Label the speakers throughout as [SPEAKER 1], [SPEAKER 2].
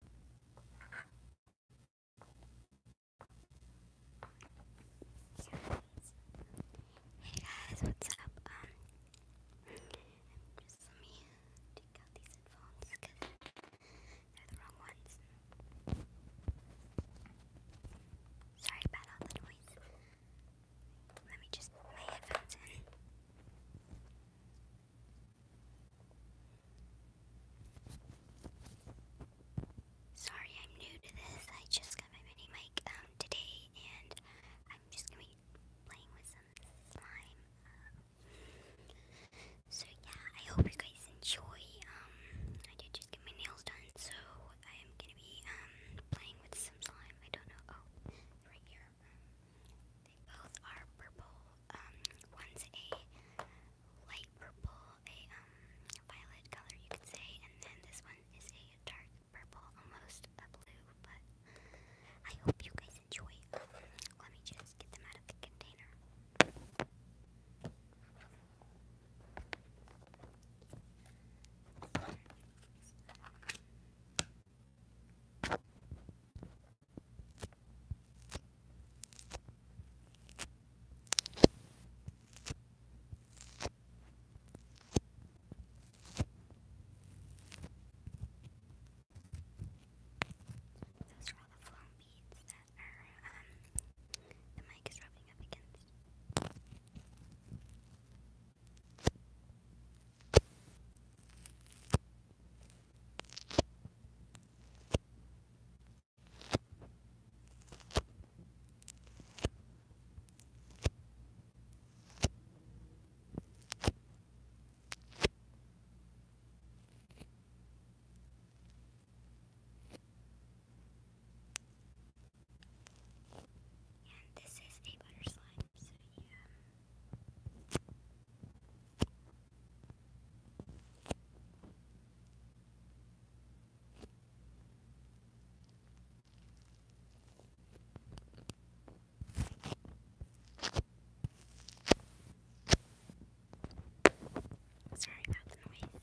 [SPEAKER 1] Hey guys, what's up? Um, just let me take out these headphones because they're the wrong ones. Sorry about all the noise. Let me just put my headphones in. Sorry, I'm new to this. I just got my mini mic um, today, and I'm just gonna be playing with some slime. so yeah, I hope you guys enjoy. Um, I did just get my nails done, so I am gonna be um playing with some slime. I don't know. Oh, right here. They both are purple. one's a light purple, a um violet color, you could say, and then this one is a dark purple, almost um, a um, um, blue. But I hope you guys enjoy. let me just get them out of the container. Those are all the foam beads that are, um, the mic is rubbing up against. And this is a butter slide. Sorry about the noise.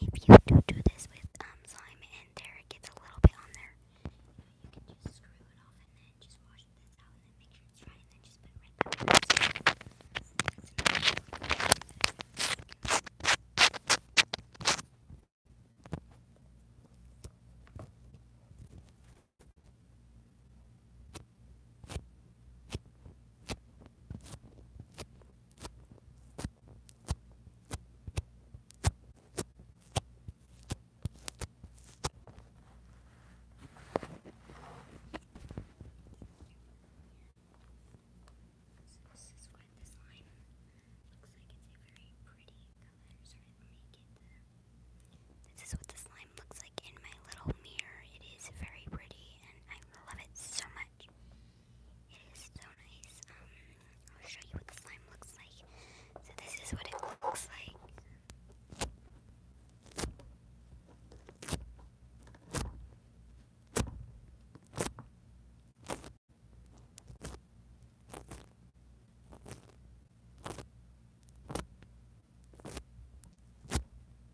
[SPEAKER 1] And if you do do this with um, slime and there gets a little bit on there, you can just screw it off and then just wash this out and make sure dry and then just put it right back on this is what this line looks like. It's a very pretty color, so make it. This is what this line looks like in my little mirror. It is very pretty, and I love it so much and stone ice. Um, I'll show you what the slime looks like. So this is what it looks like.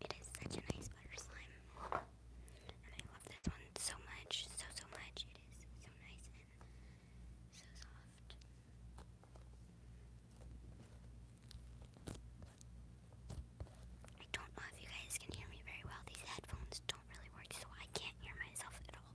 [SPEAKER 1] It is such a nice butter slime. And I love this one so much, so, so much. It is so nice and so soft. I don't know if you guys can hear me very well. These headphones don't really work, so I can't hear myself at all.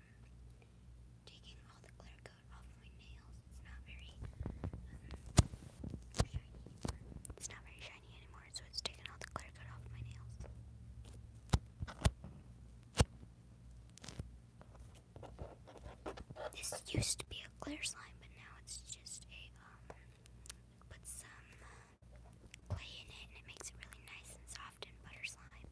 [SPEAKER 1] taking all the clear coat off my nails. It's not very um, shiny. It's not very shiny anymore, so it's taking all the clear coat off my nails. This used to be a clear slime, but now it's just a um. Put some uh, clay in it, and it makes it really nice and soft and butter slime.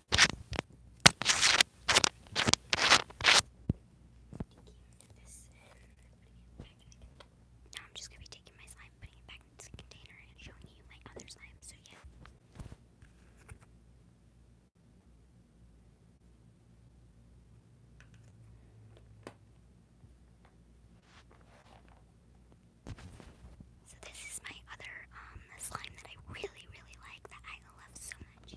[SPEAKER 1] Now I'm just going to be taking my slime, putting it back into the container, and showing you my other slime. So, yeah. So this is my other um slime that I really really like that I love so much.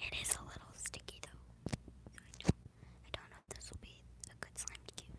[SPEAKER 1] It is a little sticky though. I don't know if this will be a good slime to use.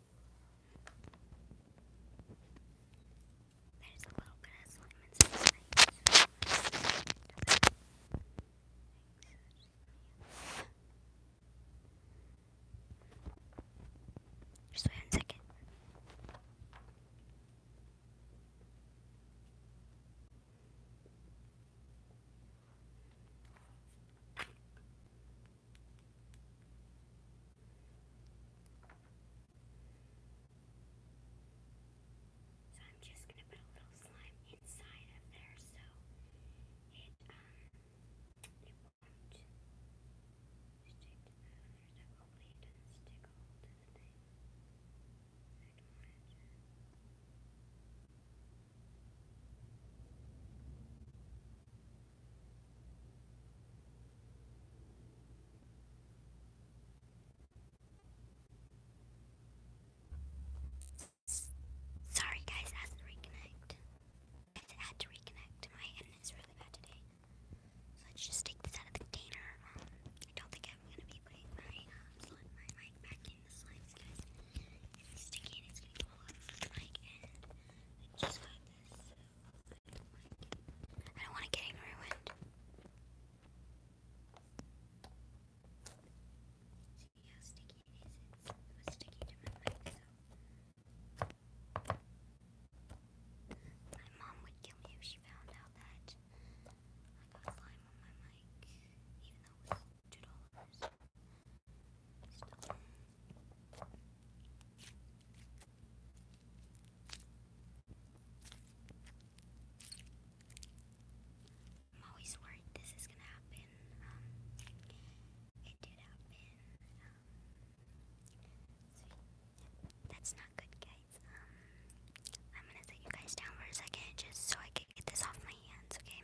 [SPEAKER 1] There's a little bit of slime inside. Just wait a second. So I'm just going to put a little slime inside of there so it, um, it won't stick to the other stuff. to the thing. Sorry guys, I had to reconnect. I had to reconnect. My internet's really bad today. So let's just take this out of the container. Um, I don't think I'm gonna be putting my uh, mic back in the slimes, guys. If it's sticky, it's gonna go all the mic, and I just got this. I don't want to get ruined. See how My mom would kill me if she found out that I got slime on my mic, even though it was $2. I'm always worried this is gonna happen. Um, it did happen. Um, that's not good, guys. Um, I'm gonna set you guys down for a second just so I can get this off my hands, okay?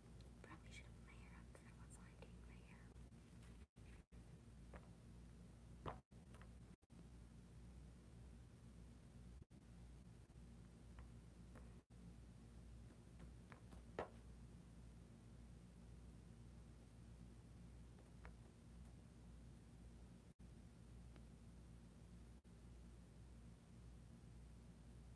[SPEAKER 1] Probably should have my hair up because I was lying doing my hair.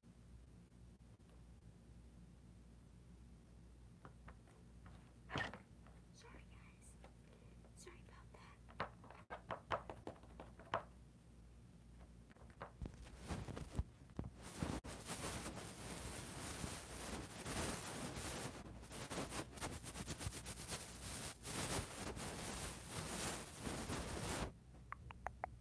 [SPEAKER 1] Sorry, guys. Sorry about that.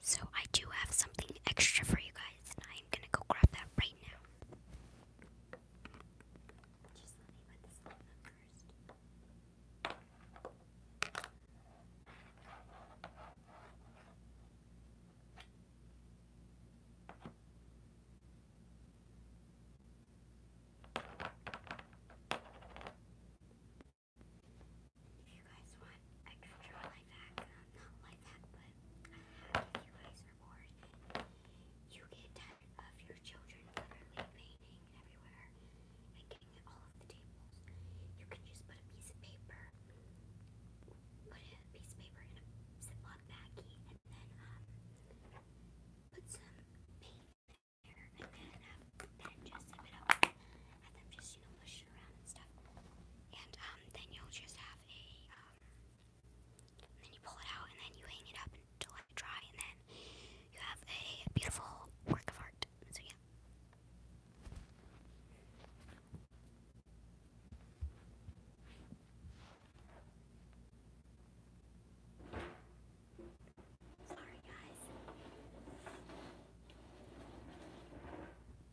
[SPEAKER 1] So I do have something extra for you guys, and I'm gonna go grab that right now if you guys want extra life hack, uh, not life hack, but if you guys are bored, you get tired of your children literally painting everywhere and getting at all of the tables. You can just put a piece of paper, put a piece of paper in a Ziploc baggie, and then um, put some paint in there, and then um, just zip it up, have them just just, you and um, then you'll just have a, um, then you pull it out and then you hang it up until it dry and then you have a beautiful work of art. So yeah. Sorry, guys. So here we have our drums.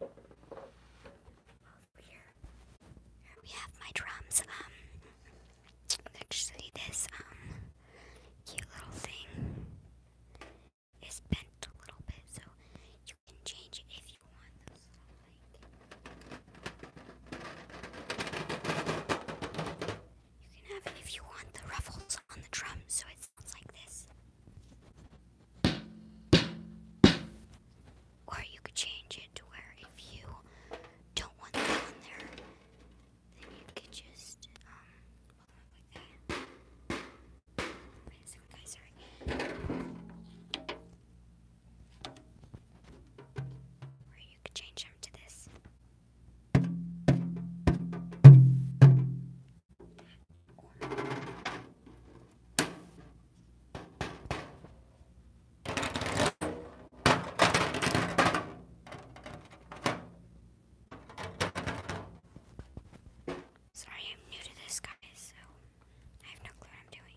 [SPEAKER 1] Also here, here we have my drums. Um, actually, this um cute little thing is bent a little bit, so you can change it if you want you can have if you want the ruffles on the drum, so it sounds like this. Or you could change it to where if you don't want that on there, then you could just um, or you could change them to this. Or Sorry, I'm new to this, guys, so I have no clue what I'm doing.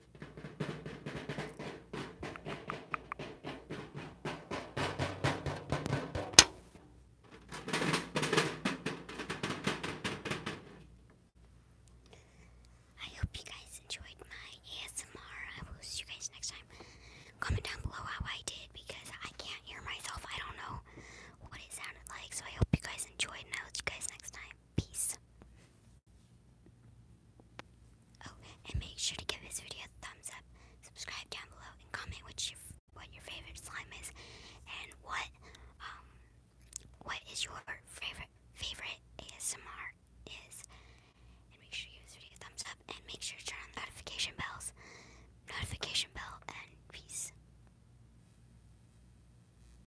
[SPEAKER 1] I hope you guys enjoyed my ASMR. I will see you guys next time. Comment down below how I did because I can't hear myself. I don't know what it sounded like. So I hope you guys enjoyed I will see you guys next time. Peace. Oh, and make sure to give this video a thumbs up, subscribe down below, and comment what your what your favorite slime is, and what um what is your favorite favorite ASMR is. And make sure you give this video a thumbs up, and make sure to turn on the notification bells, notification bell, and peace.